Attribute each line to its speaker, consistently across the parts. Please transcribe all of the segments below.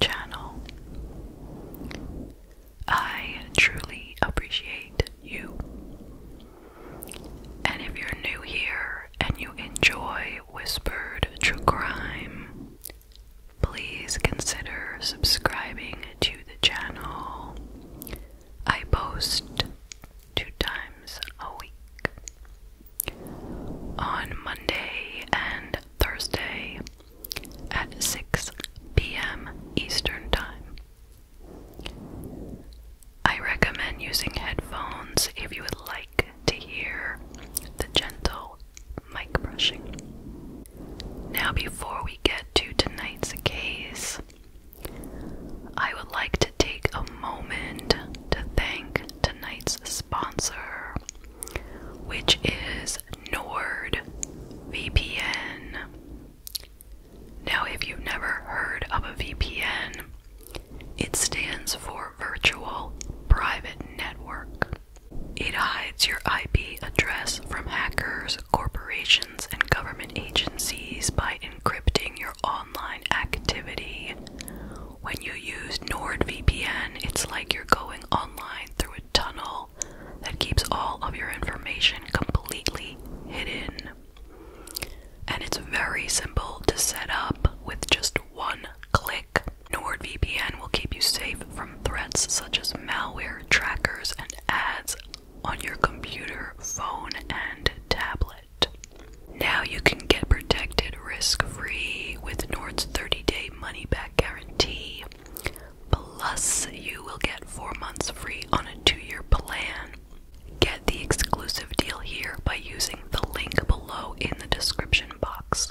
Speaker 1: channel. I truly appreciate you. And if you're new here and you enjoy Whispered True Crime, please consider subscribing to the channel. I post two times a week on Monday and Thursday at 6 p.m. Eastern Time. I recommend using headphones if you would like to hear the gentle mic brushing. Now, before we get to tonight's case, I would like to take a moment to thank tonight's sponsor, which is NordVPN. Now, if you've never heard of a VPN, it stands for Virtual Private Network. It hides your IP address from hackers, corporations, and government agencies by encrypting your online activity. When you use NordVPN, it's like you're going online through a tunnel that keeps all of your information completely hidden. And it's very simple to set up with just one click. NordVPN will keep you safe from threats such as malware, trackers, and ads on your computer, phone, and tablet. Now you can get protected risk free with Nord's 30 day money back guarantee. Plus, you will get four months free on a two year plan. Get the exclusive deal here by using the link below in the description box.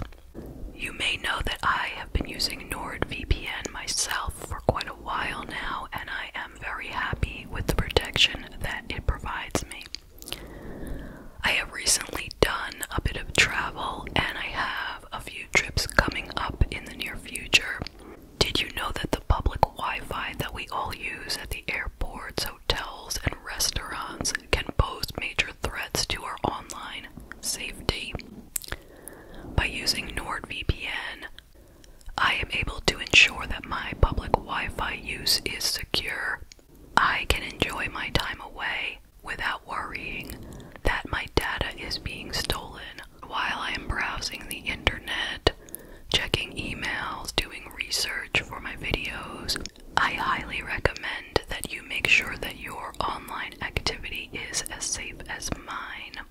Speaker 1: You may know that I have been using NordVPN myself for quite a while now, and I am very happy with the protection that it provides me. I have recently done a bit of travel, and I have a few trips coming up in the near future. Did you know that the public Wi Fi that we all use at the airports, hotels, and restaurants can pose major threats to our online safety? By using NordVPN, I am able to ensure that my public Wi Fi use is secure. I can enjoy my time away without worrying that my data is being stolen while I am browsing the internet, checking emails, doing research for my videos. I highly recommend that you make sure that your online activity is as safe as mine.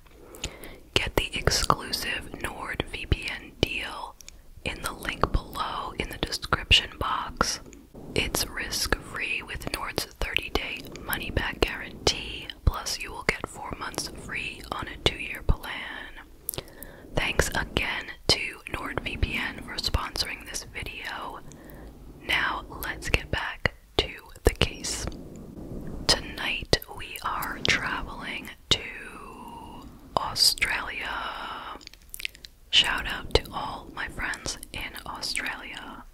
Speaker 1: Get the exclusive NordVPN deal in the link below in the description box. It's risk free with Nord's 30 day money back guarantee, plus, you will get four months free on a two year plan. Thanks again to NordVPN for sponsoring this video. Now, let's get back to the case. Tonight, we are traveling to Australia. Shout out to all my friends in Australia.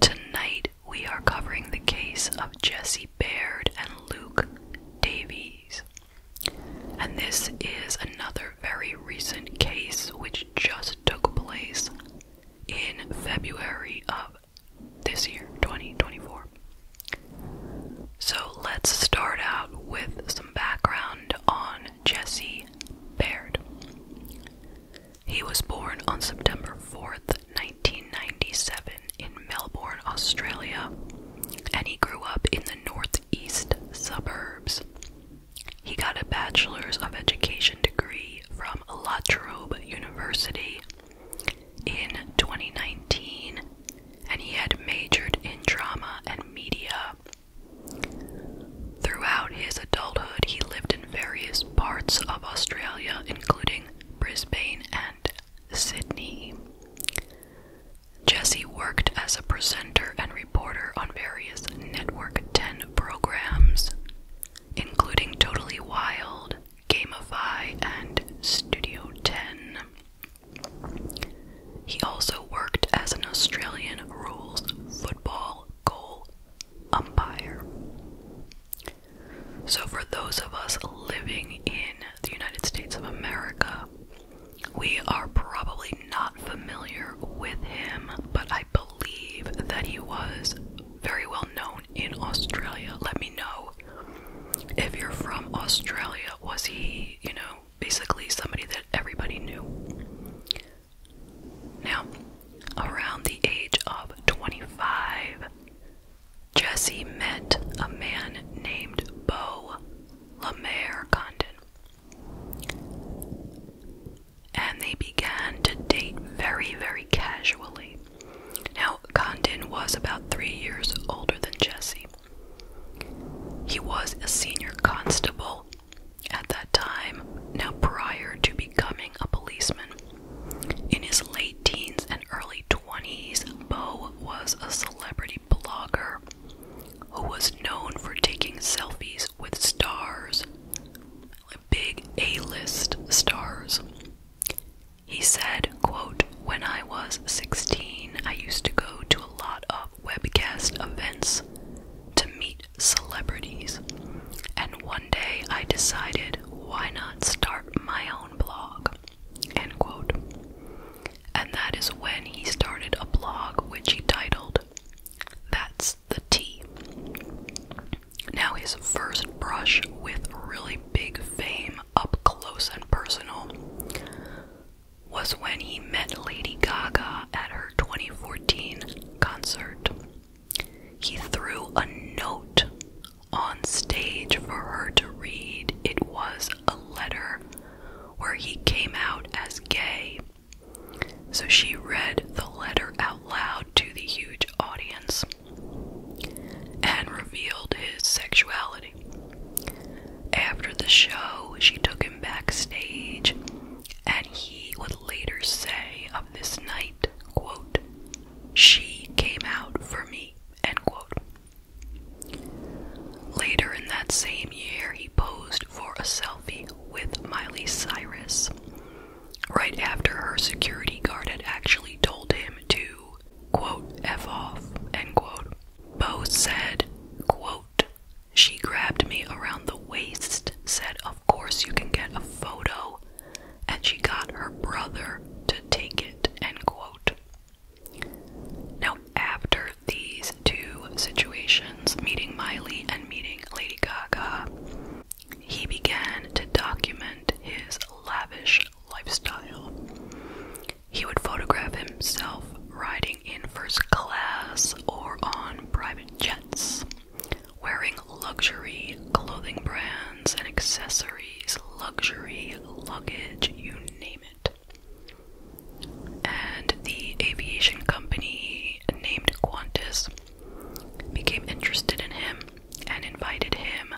Speaker 1: Tonight we are covering the case of Jesse Baird and Luke Davies. And this is another very recent case which just took place in February of this year, 2024. So let's start out with some background on Jesse Baird. He was born on September 4th, 1997, in Melbourne, Australia, and he grew up in the northeast suburbs. He got a Bachelor's of Education degree from La Trobe University in 2019, and he had majored in drama and media Throughout his adulthood, he lived in various parts of Australia, including Brisbane and Sydney. Jesse worked as a presenter and reporter on various Network 10 programs, including Totally Wild, Gamify, and Studio 10. He also worked as an Australian rules football goal umpire. So, for those of us living in the United States of America, we are probably not familiar with him, but I believe that he was very well known in Australia. Let me know if you're from Australia. Was he, you know, basically somebody that everybody knew. Now, around the age of 25, Jesse met a man named Beau Lemaire Condon. And they began to date very, very casually. Now, Condon was about three years older than Jesse. He was a senior constable at that time, now prior to becoming a policeman. In his late teens and early 20s, Bo was a celebrity blogger who was known for taking selfies with stars, big A-list stars. He said, quote, When I was 16, I used to go to a lot of webcast events to meet celebrities. And one day I decided, why not start my own blog? And that is when he started a blog which he titled That's the T." Now, his first brush with really big fame up close and personal was when he met Lady Gaga at her 2014 concert. He threw a note on stage for her to read. It was a letter where he came out as gay. So she read the letter out loud to the huge audience and revealed his sexuality. After the show, she took him backstage and he would later say of this night, quote, she came out for me, end quote. Later in that same year, he posed for a selfie with Miley Cyrus. Right after her security guard had actually told him to, quote, F off, end quote. Bo said, quote, she grabbed me around the waist, said, Of course, you can get a photo, and she got her brother to take it. End quote. Now, after these two situations, meeting Miley and meeting Lady Gaga, he began to document his lavish lifestyle. He would photograph himself riding in first class or on private jets, wearing luxury clothing brands and accessories, luxury luggage, you name it. And the aviation company named Qantas became interested in him and invited him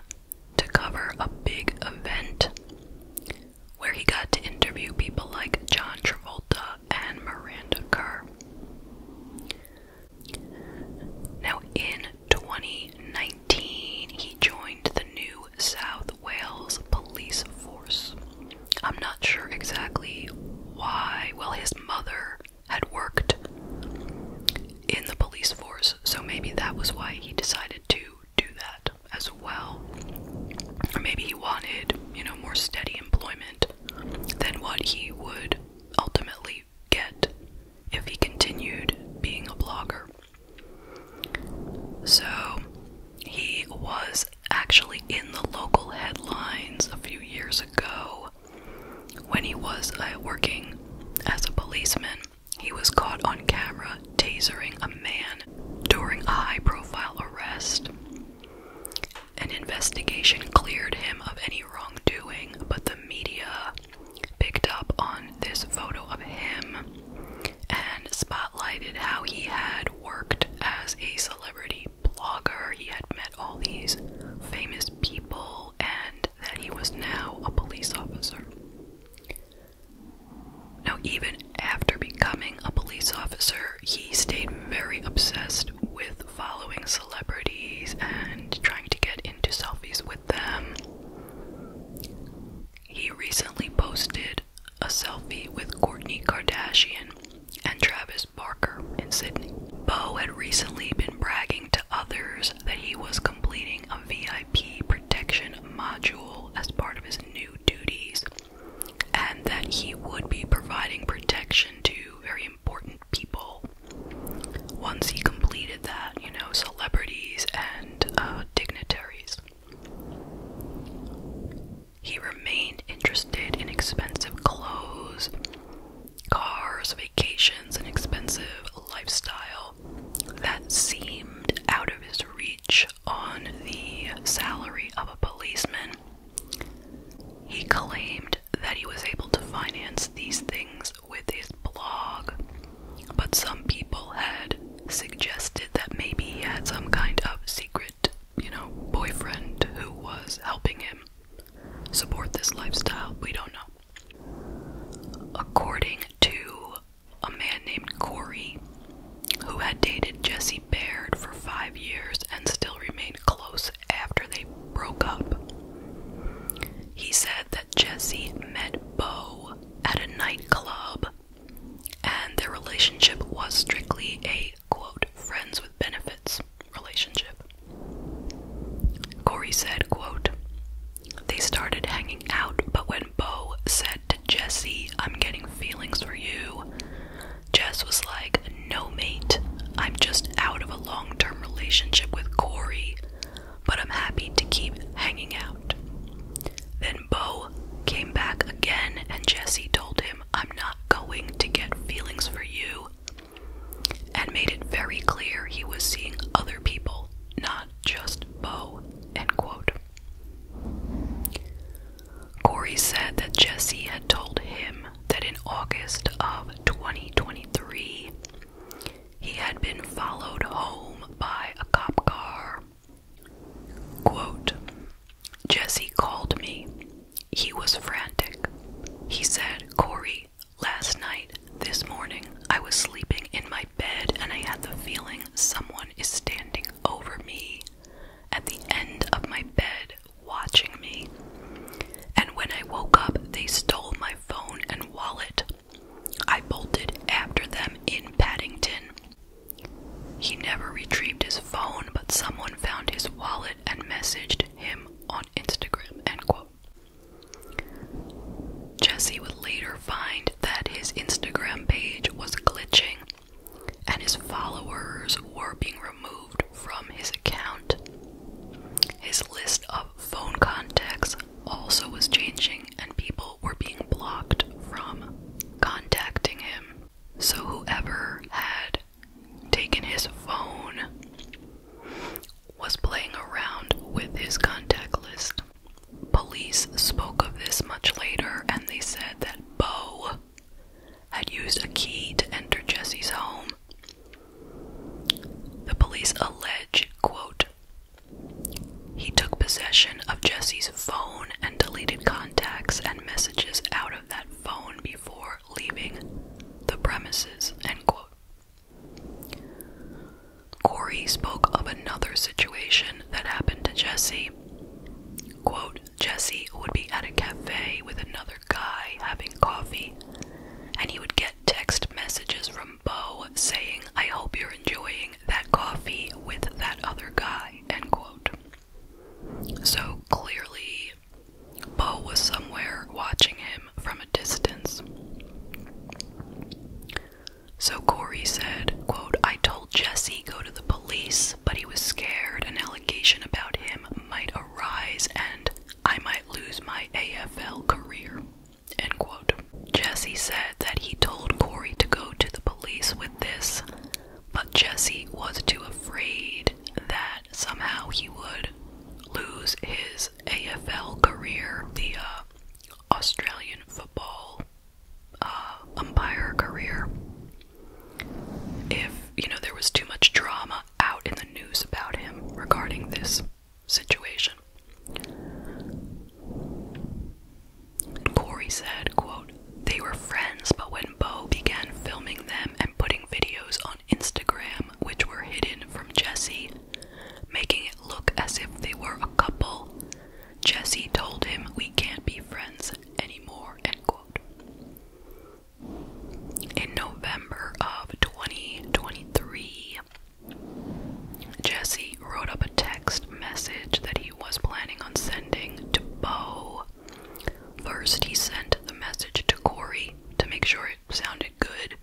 Speaker 1: to cover a big event where he got to interview people like John Travolta, and Miranda Kerr. Now, in 2019, he joined the New South Wales Police Force. I'm not sure exactly why. Well, his mother had worked in the police force, so maybe that was why he decided to do that as well. Or maybe he wanted, you know, more steady employment than what he would ultimately get if he continued being a blogger. So he was actually in the local headlines a few years ago when he was uh, working as a policeman. He was caught on camera tasering a man during a high profile arrest. An investigation cleared him of any wrongdoing, but the media picked up on this photo of him and spotlighted how he had worked as a celebrity blogger. He had met all these famous people and that he was now a police officer. Now, even after becoming a police officer, he stayed very obsessed with following celebrities and trying to get into selfies with them. He recently posted a selfie with Kourtney Kardashian and Travis Barker in Sydney. Bo had recently been bragging to others that he was completing a VIP protection module as part of his new duties and that he would be providing protection to very important people once he completed that, you know, celebrities and uh, dignitaries. He remained interested in expensive clothes, cars, vacations, and expensive lifestyle that seemed out of his reach on the salary of a policeman he claimed that he was able to finance these things with his blog, but some people had suggested that maybe he had some kind of secret, you know, boyfriend who was helping him support this lifestyle. We don't know. According to a man named Corey, who had dated Jesse Casey for five years and still remained close after they broke up. He said that Jesse met Bo at a nightclub and their relationship was strictly a quote friends with benefits relationship. Corey said, quote, they started hanging out, but when Bo said to Jesse, I'm getting feelings for you, Jess was like, No, mate, I'm just out of a long term relationship with Corey, but I'm happy to keep hanging out. Then Bo came back again, and Jesse told him, I'm not going to get feelings for you, and made it very clear he was seeing other people, not just Bo. End quote. Corey said that Jesse had told him that in August of 2023, he had been followed home by a cop car. Quote, Jesse called me. He was frantic. He said, Corey, last night, this morning, I was sleeping in my bed and I had the feeling someone is standing over me. At the end of my bed watching me. And when I woke up, they stole my phone and wallet. I bolted after them in Paddington. He never retrieved his phone, but someone found his wallet and messaged him on Instagram. End quote. Jesse would later find that his Instagram page was glitching and his followers were being removed from his account. His list of phone contacts also was changing, and people were being blocked from contacting him. So, whoever had taken his phone was playing around with his contact list. Police spoke of this much later and they said that Bo had used a key to enter Jesse's home. The police allege, quote, he took possession of Jesse's phone and deleted contacts and messages out of that phone before leaving the premises, end quote. Corey spoke of another situation that happened to Jesse. Quote, Jesse would be at a cafe with another guy having coffee, and he would get text messages from Bo saying, I hope you're enjoying that coffee with that other guy, end quote. So clearly, Bo was somewhere watching him from a distance. So Corey said, quote, I told Jesse go to the police, but he was scared and about him might arise and I might lose my AFL career. End quote. Jesse said that he told Corey to go to the police with this, but Jesse was too afraid that somehow he would lose his AFL career, the uh, Australian football uh, umpire career, if you know there was too much drama out in the news about him regarding this situation. Corey said, quote, They were friends, but when Bo began filming them and putting videos on Instagram, which were hidden from Jesse, making it look as if they were a couple, Jesse told him, We can't be friends anymore, end quote in November of 2023, Jesse wrote up a text message that he was planning on sending to Bo. First, he sent the message to Corey to make sure it sounded good.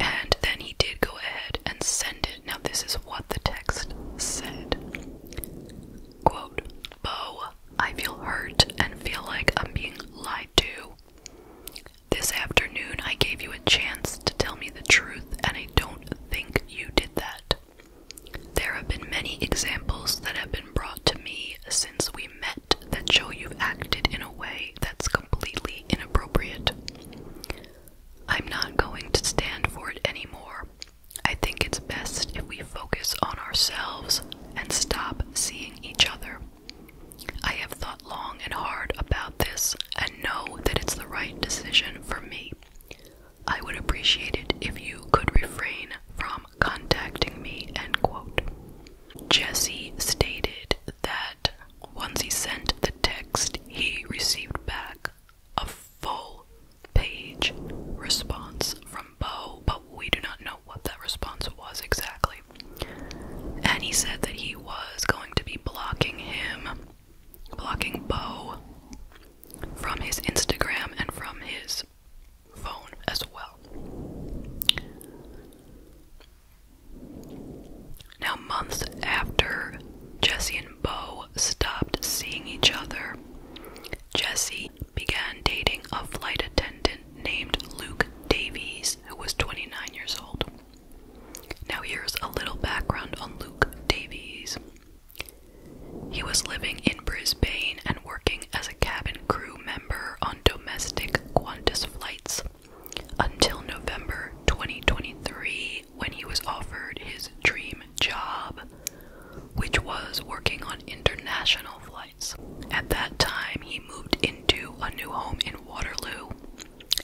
Speaker 1: And then he did go ahead and send it. Now, this is what the text said Quote, Bo, I feel hurt and feel like I'm being lied to. This afternoon, I gave you a chance to tell me the truth, and I don't think you did that. There have been many examples that have been brought to me since we met that show you've acted in a way that's completely inappropriate. I'm not going to stand for it anymore. I think it's best if we focus on ourselves and stop seeing each other. I have thought long and hard about this and know that it's the right decision for me. I would appreciate it if you could refrain from contacting me, end quote. Jesse stated that once he sent the text, he received back a full page response from Bob we do not know what that response was exactly. And he said that he was going to be blocking him, blocking Bo from his Instagram and from his phone as well. Now, months after Jesse and Bo stopped seeing each other, Jesse began dating a flight attendant named Luke Davies, who was 29 years old. Now, here's a little background on Luke Davies. He was living in Brisbane and working as a cabin crew member on domestic Qantas flights until November 2023 when he was offered his dream job, which was working on international flights. At that time, he moved into a new home in Waterloo,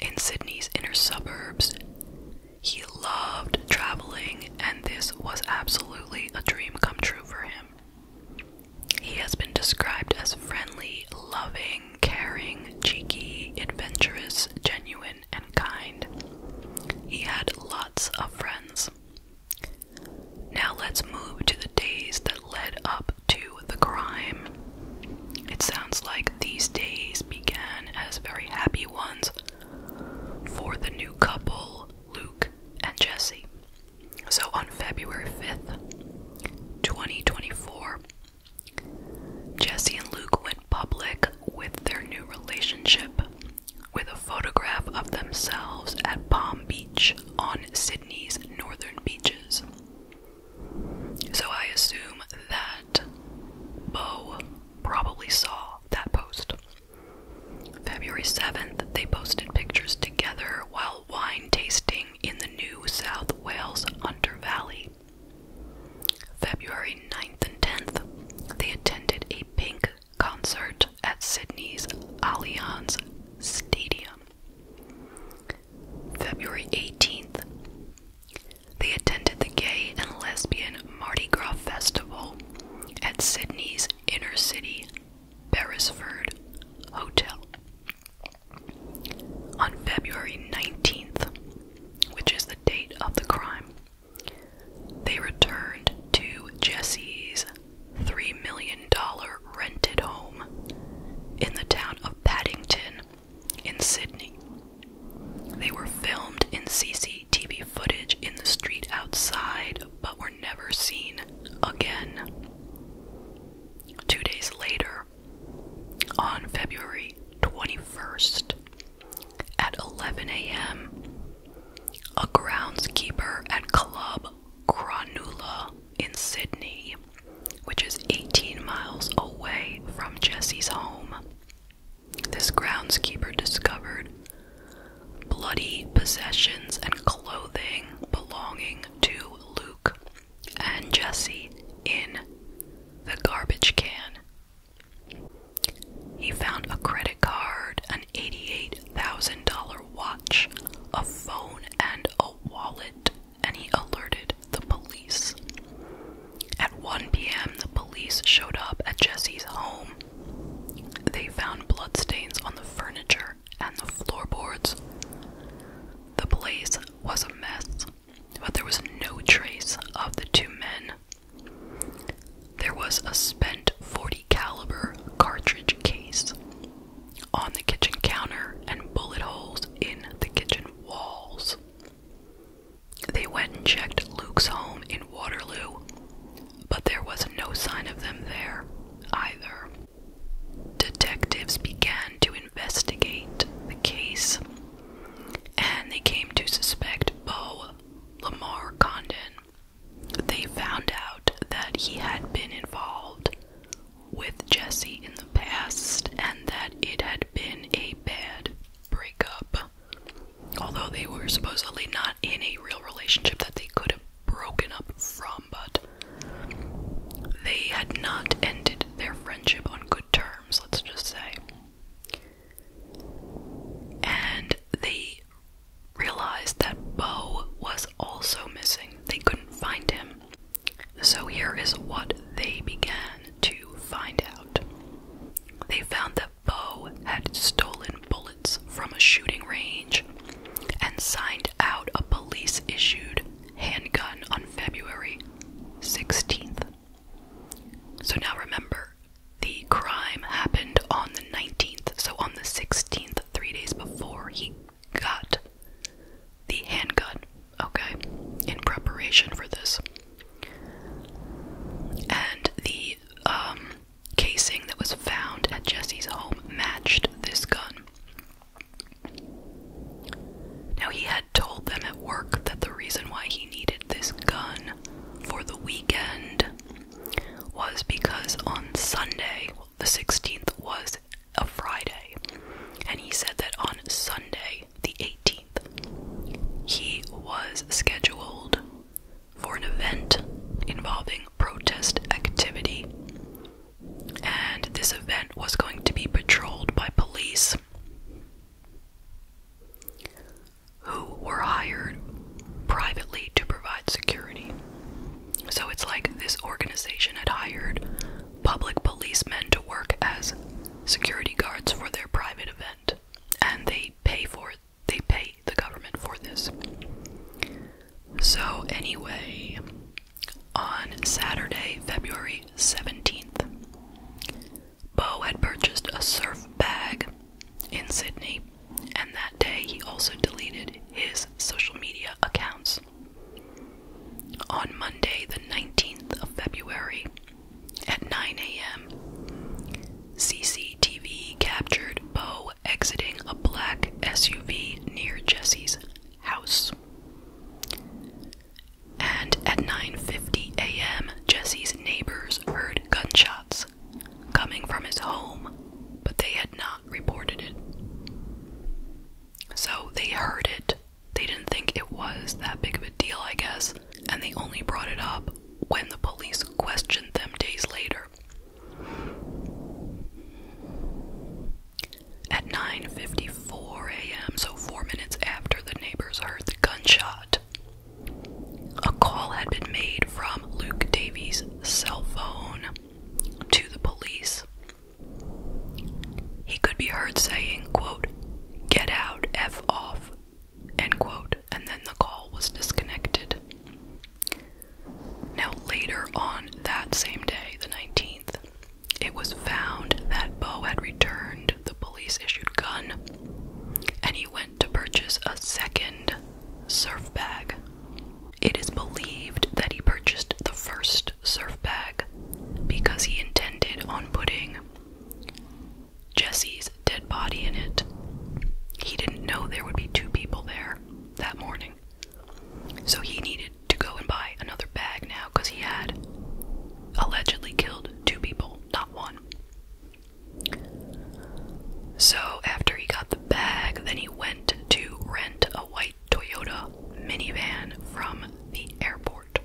Speaker 1: in Sydney's inner suburbs. He loved traveling, and this was absolutely a dream come true for him. He has been described as friendly, loving, caring, cheeky, adventurous, genuine, and kind. He had lots of friends. Now let's move to the days that led up to the crime. It sounds like these days began as very happy ones for the new couple, Luke and Jesse. So on February 5th, 2024, Jesse and Luke went public with their new relationship with a photograph of themselves at Palm Beach on Sydney's northern beaches. So I assume that Bo probably saw that post. February 7th, they posted pictures together while wine tasting in the New South Wales Hunter Valley. February 9th and 10th, they attended a pink concert at Sydney's Allianz Stadium. February 18th, they attended the Gay and Lesbian Mardi Gras Festival at Sydney's inner city Beresford Hotel. On February 19th, which is the date of the crime, they returned to Jesse's $3 million rented home in the town of Paddington in Sydney. They were filmed in CCTV footage in the street outside but were never seen again. Two days later, on February 21st, at 11 a.m., a groundskeeper at Club Granula in Sydney, which is 18 miles away from Jesse's home. This groundskeeper discovered bloody possessions and clothing belonging to Luke and Jesse in the garbage can. He found a credit card, an $88,000 watch, a phone, and a wallet and he alerted the police. At 1 p.m., the police showed up at Jesse's home. They found blood stains on the furniture and the floorboards. The place was a mess, but there was no trace of the two men. There was a spent 40 caliber cartridge case on the kitchen counter and bullet holes in the kitchen walls. They went and checked Luke's home in Waterloo, but there was no sign of them there either. Detectives began to investigate the case and they came to suspect Beau Lamar Condon. They found out that he had been involved with Jesse in the past and that it had been a bad breakup. Although they were supposedly not in a real relationship that they could have broken up from, but they had not ended their friendship on good terms, let's just say. And they realized that Bo was also missing they couldn't find him. So here is what they began to find out. They found that Bo had stolen bullets from a shooting range and signed out a police issued handgun on February 16th. So now remember, the crime happened on the 19th, so on the 16th, three days before, he got the handgun, okay, in preparation for this. And the um, casing that was found at Jesse's home matched this gun. Now, he had told them at work that the reason why he needed this gun for the weekend was because on Sunday, the 16th, was a Friday, and he said that on Sunday, the 18th, he was scheduled for an event involving protest activity, and this event was going to be patrolled by police who were hired privately to provide security. So it's like this organization had hired public policemen to work as security guards for their private event, and they pay for it. They pay the government for this. So anyway, on Saturday, February 17th, Bo had purchased a surf bag in Sydney, and that day he also deleted his social media accounts. On Monday, the 19th of February, at 9 a.m., CCTV captured Bo exiting a black SUV near Jesse's house. And at 9:50 a.m., Jesse's neighbors heard gunshots coming from his home, but they had not reported it. So they heard it. They didn't think it was that big of a deal, I guess, and they only brought it up when the police questioned them days later. At 9:54 a.m., so 4 minutes after the neighbors heard the gunshot, a call had been made from Luke Davies' cell phone to the police. He could be heard saying, quote, Get out, F off, end quote, and then the call was disconnected. Now, later on that same day, the 19th, it was found that Bo had returned the police issued gun and he went to purchase a second surf bag. It is believed that he purchased the first surf bag because he intended on putting Jesse's dead body in it. He didn't know there would be two people there that morning. So he needed to go and buy another bag now because he had allegedly killed two people, not one. So after he got the bag, then he went to rent a white Toyota minivan from the airport.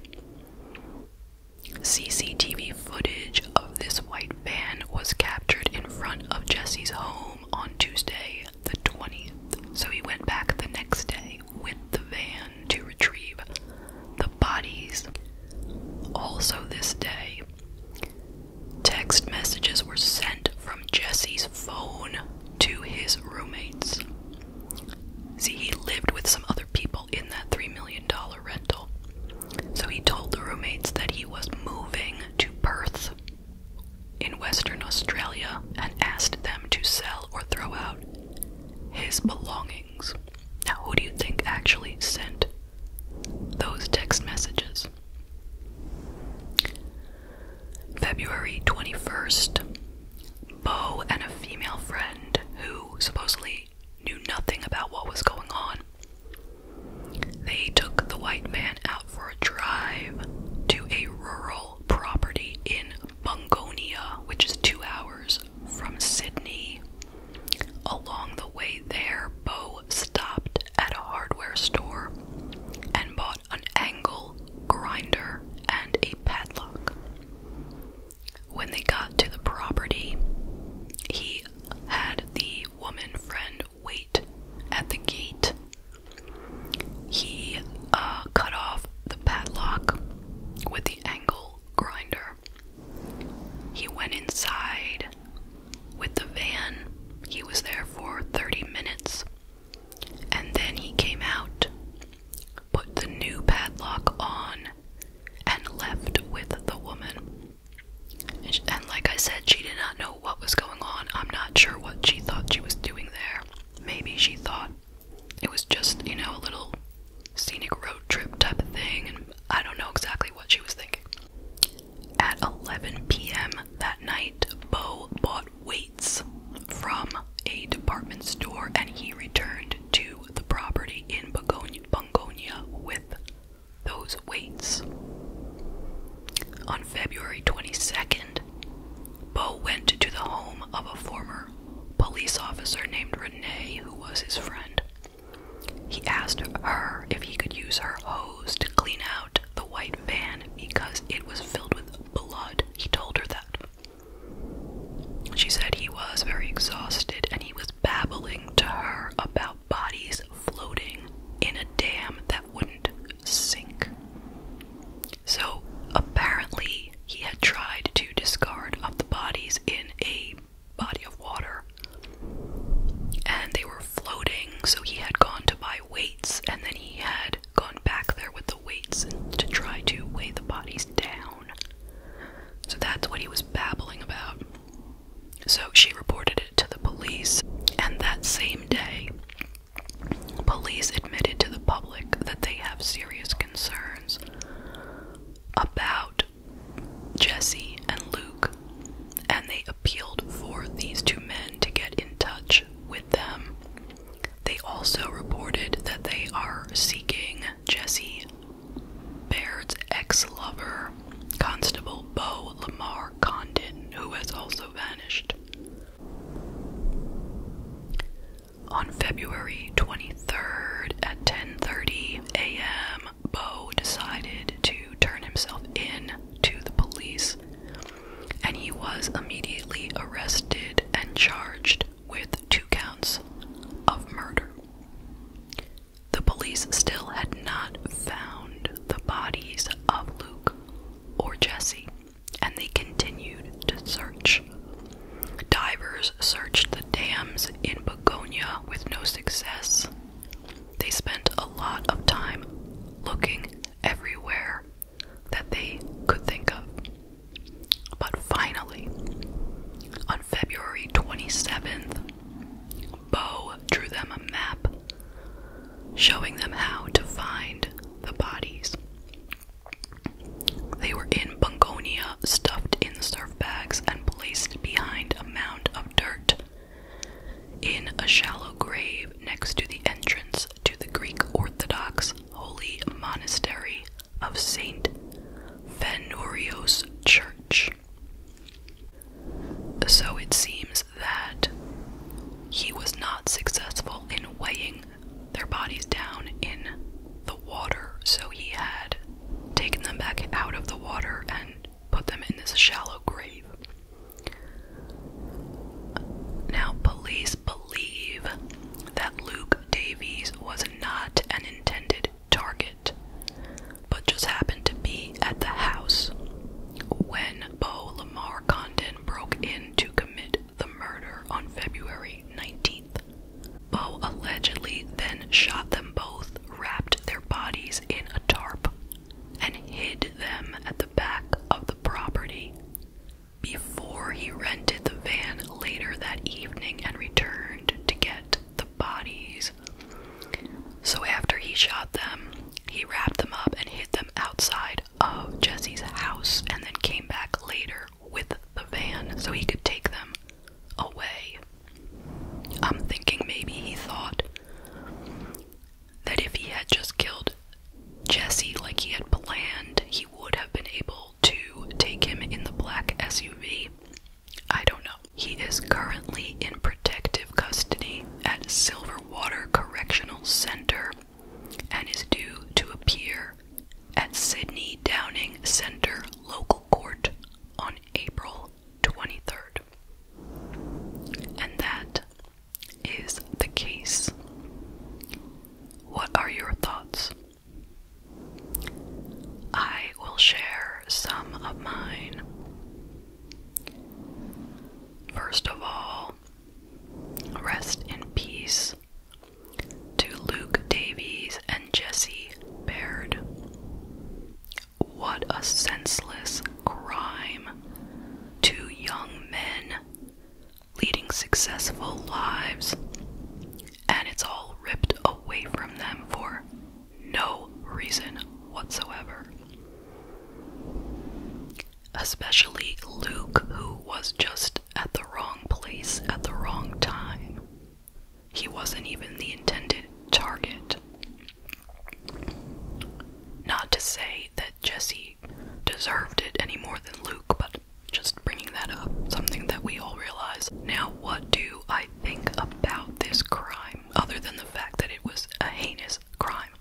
Speaker 1: CCTV footage of this white van was captured in front of Jesse's home on Tuesday, the 20th, so he went back the next day with the van to retrieve the bodies. Also, this day, text messages were sent from Jesse's phone to his roommates. See, he lived with some other people in that $3 million rental. So he told the roommates that he was moving to Perth in Western Australia and asked them to sell or throw out his belongings. Now, who do you think actually sent those text messages? February 21st, Bo and a female friend who supposedly knew nothing about what was going on. They took the white man out for a drive to a rural property in Bungonia, which is two hours from Sydney. Along the way there, Bo stopped at a hardware store and bought an angle grinder, and a padlock. When they got to the property, he had the woman friend wait at the gate. He uh, cut off the padlock with the angle grinder. He went inside with the van. He was there for 30 minutes. And then he came out, put the new padlock on, and left with the woman. And, like I said, she did not know what was going on. I'm not sure what she thought she was doing there. Maybe she thought it was just, you know, a little scenic road trip type of thing, and I don't know exactly what she was thinking. At 11 p.m. that night, Bo bought weights from a department store and he returned to the property in Bongonia with those weights. On February 22nd, Bo went to the home of a former police officer named Renee, who was his friend. He asked her if he could use her hose to clean out the white van because it was filled with blood. He told her that. She said he was very exhausted and he was babbling to her about bodies floating in a dam that wouldn't sink. So apparently, he had tried to discard of the bodies in a body of water and they were floating, so he had gone to buy weights and then he had had gone back there with the weights and to try to weigh the bodies down. So that's what he was babbling about. So she reported it to the police, and that same day, police admitted to the public that they have serious concerns about Jesse and Luke, and they appealed for these two men to get in touch with them they also reported that they are seeking Jesse Baird's ex lover, Constable Beau Lamar Condon, who has also vanished. On February 23rd at 10:30 a.m., Beau decided to turn himself in to the police and he was immediately arrested and charged with two counts of murder. The police still had not found the bodies of Luke or Jesse, and they continued to search. Divers searched the dams in Begonia with no success. They spent a lot of time looking everywhere that they could think of. But finally, on February 27th, Bo drew them a map showing them how to find the bodies. They were in Bungonia, stuffed in surf bags and placed behind a mound of dirt in a shallow grave next to the entrance to the Greek Orthodox Holy Monastery of Saint Fanurios Church. So it seems that he was not successful in weighing their bodies down in the water, so he had taken them back out of the water and put them in this shallow grave. Now, police believe that Luke Davies was not an intended target, but just happened to be at the house when Beau Lamar Condon broke in to commit the murder on February 19th. Beau allegedly then shot them both, wrapped their bodies in a tarp, and hid them at the back of the property before he rented the van later that evening and returned to get the bodies. So after he shot them, he wrapped them up and hid them outside of Jesse's house and then came back later with the van so he could take them away. I'm thinking maybe he thought that if he had just killed Jesse like he had planned, he would have been able to take him in the black SUV. I don't know. He is currently in protective custody at Silverwater Correctional Center and is due to appear at Sydney Downing Center local court on April 23rd. And that is the case. What are your thoughts? I will share some of mine. First of all, rest in peace to Luke Davies and Jesse Baird. What a senseless crime! Two young men leading successful lives, and it's all ripped away from them for no reason whatsoever. Especially Luke, who was just at the wrong place at the wrong time. He wasn't even the intended target. Not to say that Jesse deserved it any more than Luke, but just bringing that up, something that we all realize. Now, what do I think about this crime other than the fact that it was a heinous crime?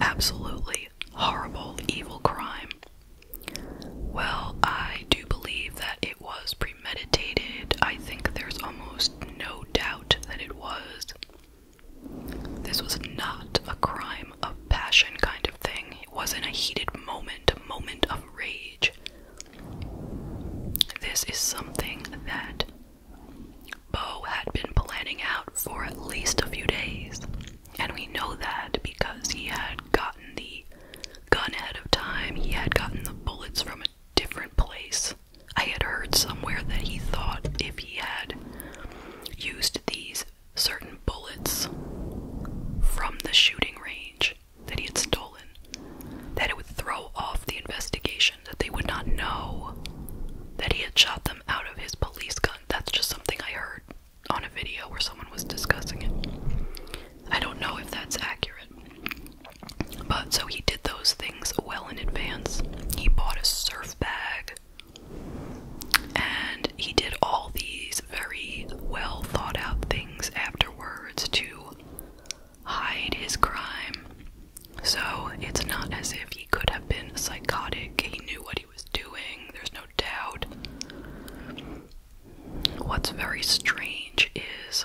Speaker 1: Absolutely horrible, evil crime. Well, I do believe that it was premeditated. I think there's almost no doubt that it was. This was not a crime of passion kind of thing wasn't a heated moment, a moment of rage. This is something that Bo had been planning out for at least a few days, and we know that because he had gotten the gun ahead of time, he had gotten the bullets from a different place. I had heard somewhere that he thought if he had used these certain bullets from the shooting range that he had stolen, that it would throw off the investigation, that they would not know that he had shot them out of his police gun. That's just something I heard on a video where someone was discussing it. I don't know if that's accurate. But so he did those things well in advance. He bought a surf bag and he did all these very well thought out things afterwards to hide his crime. So it's not as if he could have been psychotic, he knew what he was doing, there's no doubt. What's very strange is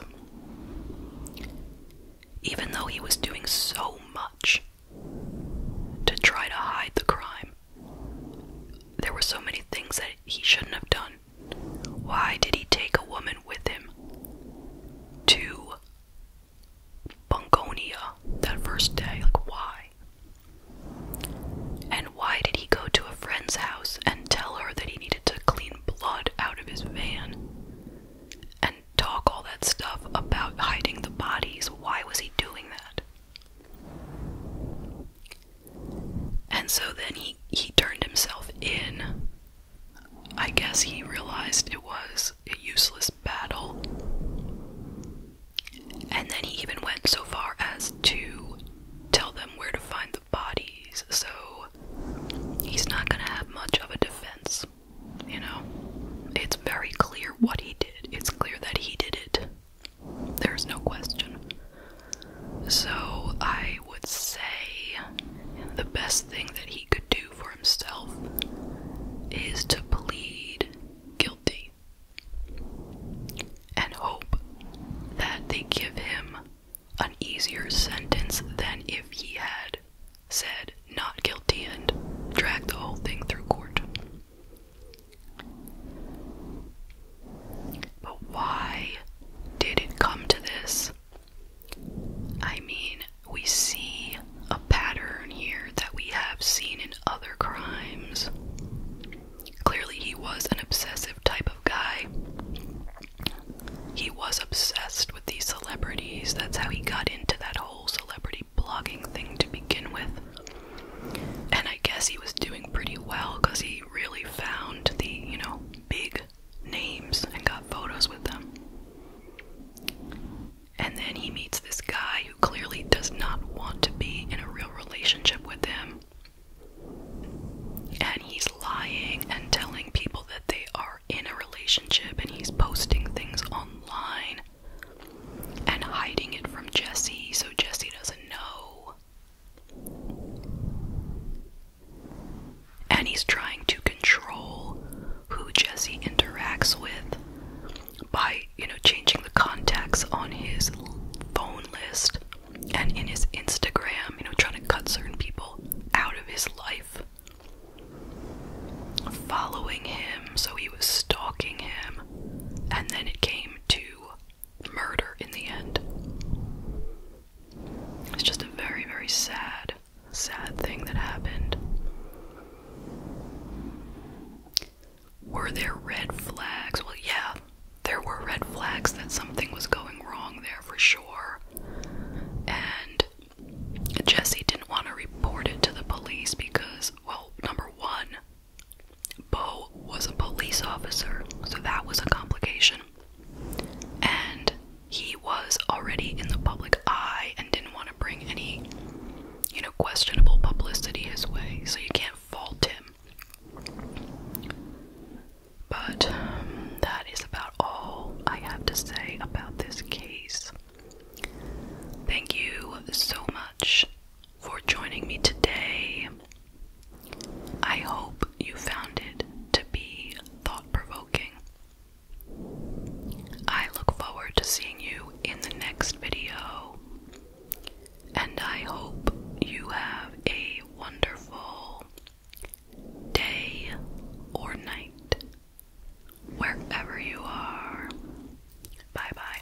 Speaker 1: even though he was doing so much to try to hide the crime, there were so many things that he shouldn't have done. Why did he take a woman with him to Bongonia that first day? Like, why? And why did he go to a friend's house and tell her that he needed to clean blood out of his van and talk all that stuff about hiding the bodies? Why was he doing that? And so then he he turned himself in. I guess he realized it was a useless battle. And then he even went so far as to tell them where to find the bodies. So he's not going to have much of a defense, you know. It's very clear what he did. It's clear that he did it. There's no question. So I would say the best thing that he could do for himself is to plead guilty and hope that they give him an easier sentence than if he had said not guilty and dragged the whole thing through court. But why did it come to this? I mean, we see a pattern here that we have seen in other crimes. Clearly, he was an obsessive type of guy. He was obsessed with these celebrities. That's how he got into that whole celebrity blogging thing to begin with. And I guess he was doing pretty well because he really found the, you know, big names and got photos with them. And then he meets this guy who clearly does not want to be in a real relationship with him. And he's lying and telling people that they are in a relationship and he's posting things online and hiding it from Jesse so Jesse doesn't know. And he's trying to control who Jesse interacts with by, you know, changing the contacts on his phone list and in his Instagram, you know, trying to cut certain people out of his life. Following him, so he was stalking him, and then it came to murder in the end. It's just a very, very sad, sad thing that happened. Were there red flags? Well, yeah, there were red flags that something was going wrong there for sure. And Jesse didn't want to report it to the police because, well, number one, Bo was a police officer, so that was a complication. And he was already in the public eye and didn't want to bring any, you know, questionable publicity his way, so you can't fault him. But um, that is about all I have to say about this case. Thank you so much for joining me today. I hope you found it to be thought provoking. I look forward to seeing you in the next video, and I hope you have a wonderful day or night wherever you are. Bye bye.